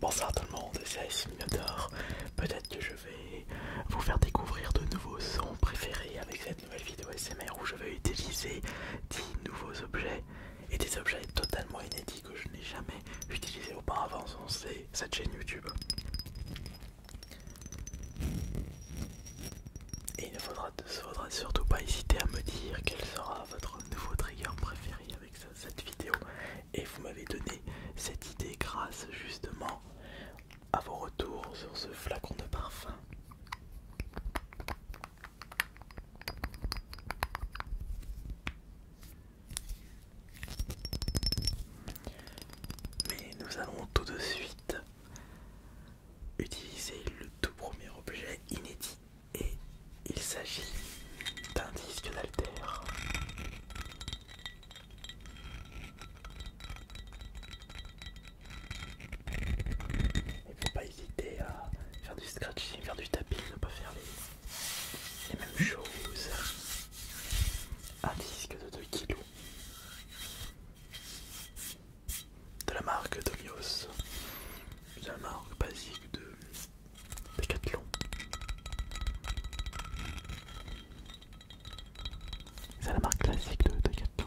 Bonsoir tout le monde, c'est Simulator. Peut-être que je vais vous faire découvrir de nouveaux sons préférés avec cette nouvelle vidéo SMR où je vais utiliser 10 nouveaux objets et des objets totalement inédits que je n'ai jamais utilisés auparavant sur cette chaîne YouTube. Et il ne faudra, surtout pas hésiter à me dire quel sera votre nouveau trigger préféré avec cette vidéo. Et vous m'avez donné cette idée grâce justement à vos retours sur ce flacon de parfum. Mais nous allons tout de suite utiliser le tout premier objet inédit et il s'agit d'un disque d'altère. Il ne faut pas hésiter à faire du scratching, faire du tapis, ne pas faire les, les mêmes choses. Un disque de 2 kg de la marque Domios, de la marque basique de Decathlon. C'est la marque classique de Decathlon.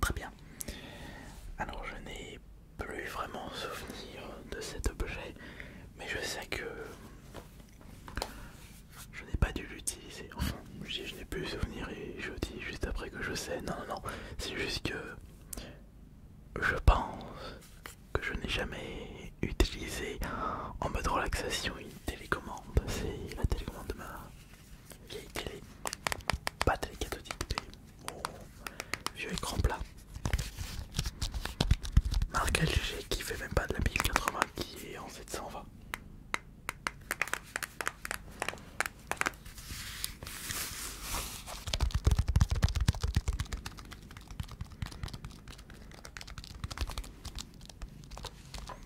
Très bien. Alors je n'ai plus vraiment souvenir de cet objet, mais je sais que je n'ai pas dû l'utiliser. Enfin, je n'ai plus souvenir et je dis juste après que je sais. Non, non, non, c'est juste que je pense que je n'ai jamais utilisé en mode relaxation télécommande, c'est la télécommande de ma vieille télé, pas télé cathodique, vieux écran plat. Marque LG qui fait même pas de la 1080 qui est en 720.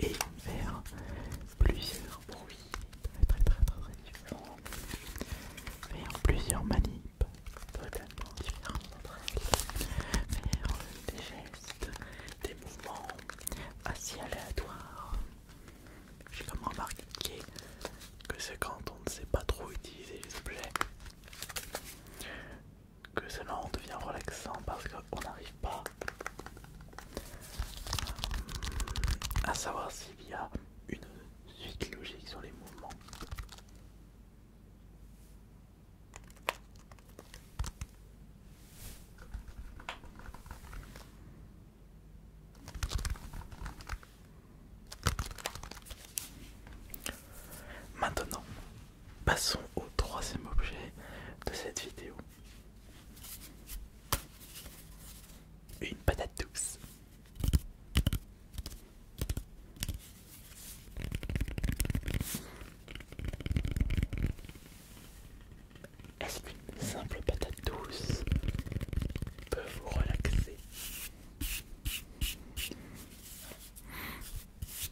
et faire plusieurs bruits très très très très différents, faire plusieurs manips totalement différentes entre elles, faire des gestes, des mouvements assez aléatoires. J'ai comme remarqué que c'est quand on ne sait pas trop utiliser les objets que seulement on devient relaxant parce qu'on n'arrive pas à savoir s'il y a une suite logique sur les mouvements. Maintenant, Passons au troisième objet de cette vidéo. Une patate douce. Est-ce qu'une simple patate douce peut vous relaxer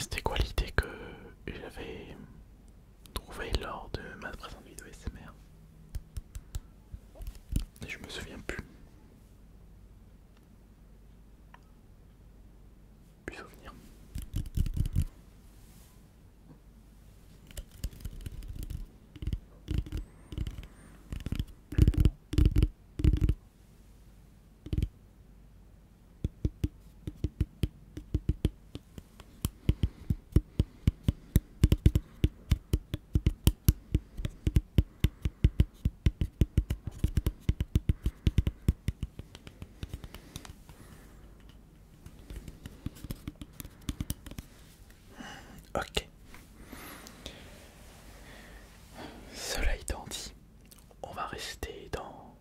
C'était quoi l'idée que j'avais trouvée lors de ma présente vidéo SMR Et je me souviens plus. Puis souvenirs. Ok. Cela étant dit, on va rester dans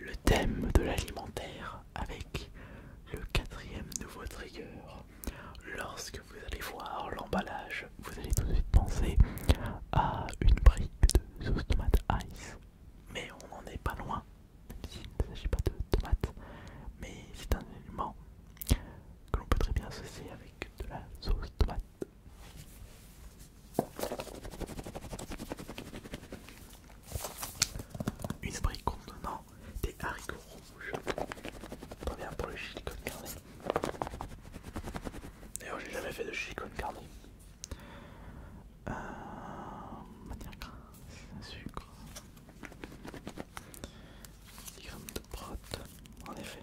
le thème de l'alimentaire avec le quatrième nouveau trigger. Lorsque vous allez voir l'emballage vous allez tout de suite penser à une brique de sauce tomate ice. Mais on n'en est pas loin, même s'il ne s'agit pas de tomate. Mais c'est un élément que l'on peut très bien associer avec de la sauce tomate. Une brique contenant des haricots rouges. Très bien pour le chili con carne. D'ailleurs, j'ai jamais fait de chicone carne. Euh, matière grasse, sucre, des grammes de protes, en effet.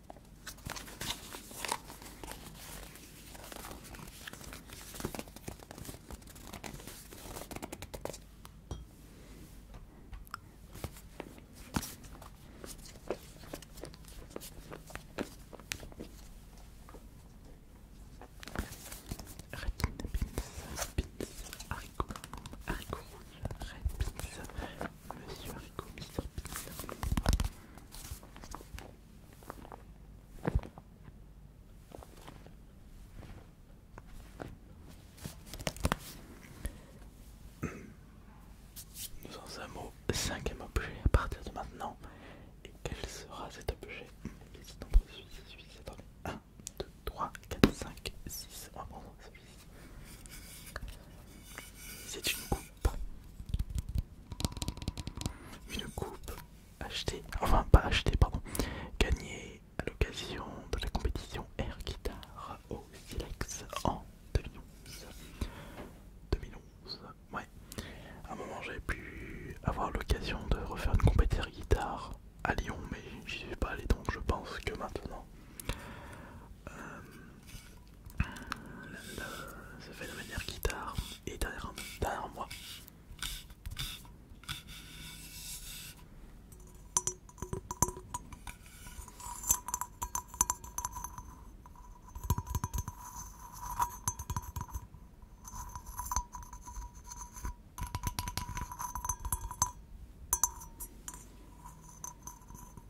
Red beans, beans, haricots, haricots rouges, red Monsieur Nous en sommes au cinquième objet à partir de maintenant. Et quel sera cet objet 1, 2, 3, 4, 5, 6. C'est une coupe. Une coupe achetée, enfin pas achetée, pardon, gagnée à l'occasion de la compétition Air Guitar au Silex en 2011. 2011, ouais. À un moment j'avais pu avoir l'occasion de refaire une compétition Air Guitar à Lyon, mais j'y suis pas allé donc je pense que maintenant. Euh, la se fait de manière guitare et derrière moi.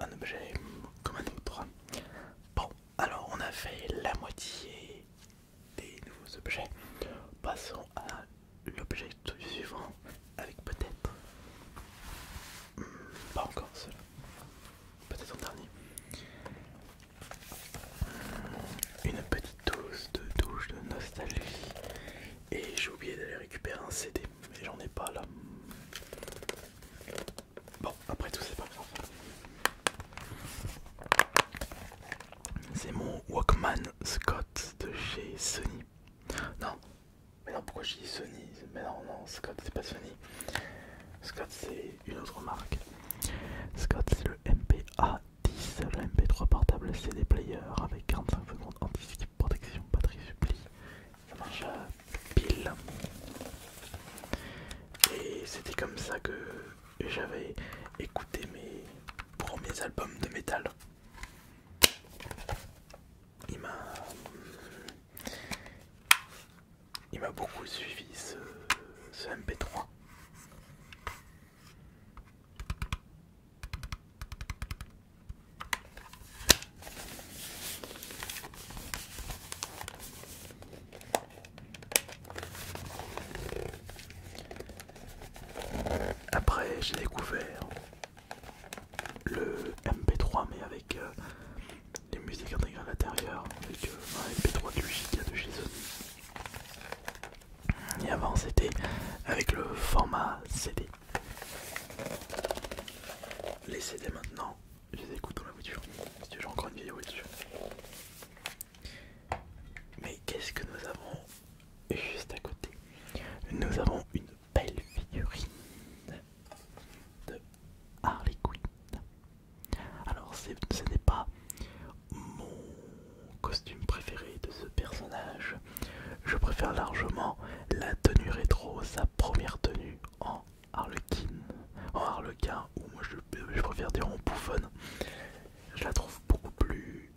Un objet comme un autre. Bon, alors on a fait la moitié des nouveaux objets. Passons à l'objet suivant avec peut-être... Hmm, pas encore cela peut en dernier. Une petite dose de douche de nostalgie. Et j'ai oublié d'aller récupérer un CD, mais j'en ai pas là. Bon, après tout, c'est pas grave. C'est mon Walkman Scott de chez Sony. Non, mais non, pourquoi je dis Sony Mais non, non, Scott c'est pas Sony. Scott c'est une autre marque. Scott, c'est le MPA10, le MP3 portable CD player avec 45 secondes anti-skip, protection, batterie supplie. Ça marche à euh, pile. Et c'était comme ça que j'avais écouté mes premiers albums de métal. Il m'a. Hum, il m'a beaucoup suivi ce, MP3. Après, j'ai découvert le MP3, mais avec euh, les musiques intégrées à l'intérieur avec euh, un MP3 de de chez Sony. Et avant c'était avec le format CD. Les CD maintenant, je les écoute dans la voiture, parce que j'ai encore une vidéo voiture. Mais qu'est-ce que nous avons juste à côté Nous avons une belle figurine de Harley Quinn. Alors ce n'est pas mon costume préféré de ce personnage. Je préfère largement la tenue rétro, sa première tenue en harlequin, en harlequin ou moi je, je préfère dire en bouffonne. Je la trouve beaucoup plus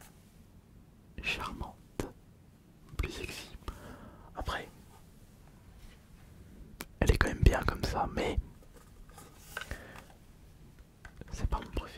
charmante, plus sexy. Après, elle est quand même bien comme ça, mais c'est pas mon préféré.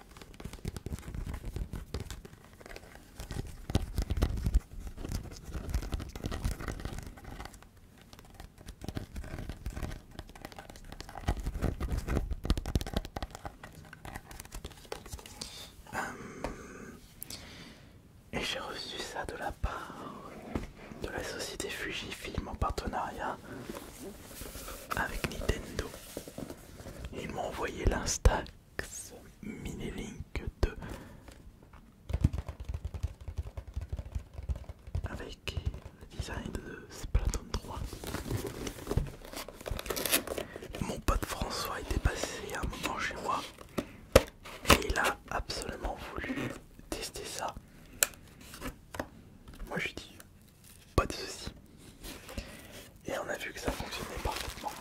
Euh, et j'ai reçu ça de la part de la société Fujifilm en partenariat avec Nintendo il m'a envoyé l'Instax Minilink 2 avec le design de Splatoon 3. Mon pote François était passé un moment chez moi et il a absolument voulu tester ça. Moi je dis pas de soucis. Et on a vu que ça fonctionnait parfaitement.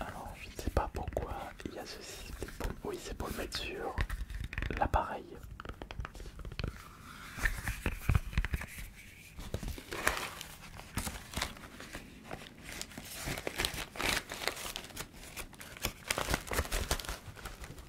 Alors je ne sais pas pourquoi il y a ceci. Oui c'est pour le mettre sur l'appareil.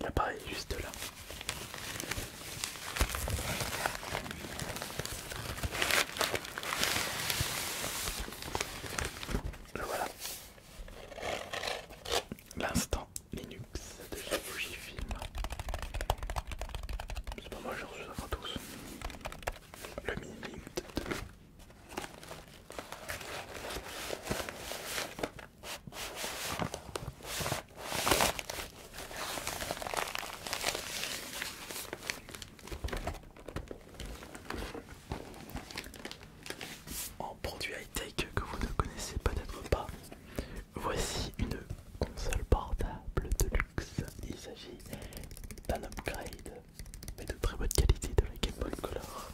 L'appareil juste là. voilà. L'instant Linux de la film. C'est pas mal, j'ai reçu ça tous. Le mini de en produit high-tech que vous ne connaissez peut-être pas, Voici une console portable de luxe. Il s'agit d'un upgrade, mais de très bonne qualité de la Game Boy Color.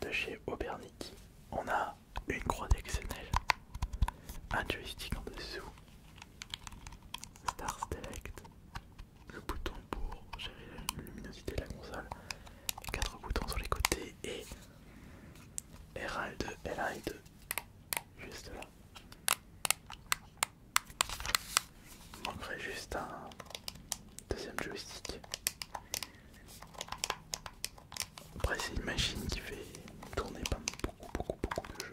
De chez Aubernick, on a une croix d'exceptionnel, un joystick en dessous, Star Select, le bouton pour gérer la luminosité de la console, 4 boutons sur les côtés et RAL2, et 2 juste là. Il manquerait juste un deuxième joystick. Après c'est une machine qui fait tourner pas beaucoup beaucoup beaucoup de jeux.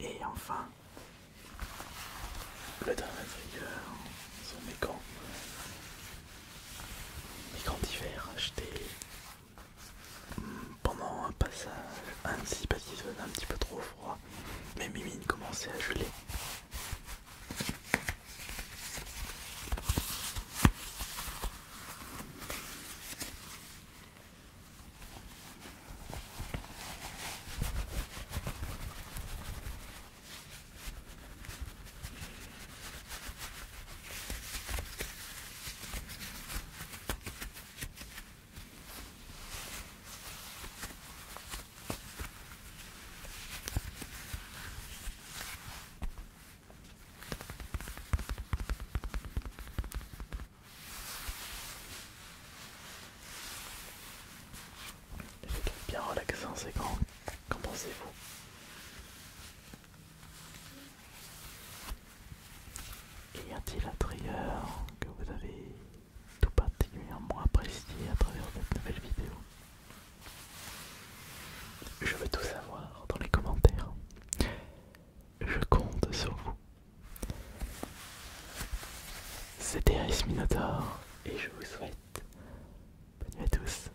Et enfin, le dernier trigger, sont mes gants. Mes gants d'hiver achetés hmm, pendant un passage anti-baptisme un petit peu trop froid mais Mes mimines commençaient à geler. C'est bien relaxant c'est grand, qu'en pensez-vous Qu'y y a-t-il un trigger que vous avez tout particulièrement apprécié à travers cette nouvelle vidéo. Je veux tout savoir dans les commentaires. Je compte sur vous. C'était Ice Minotaur et je vous souhaite bonne nuit à tous.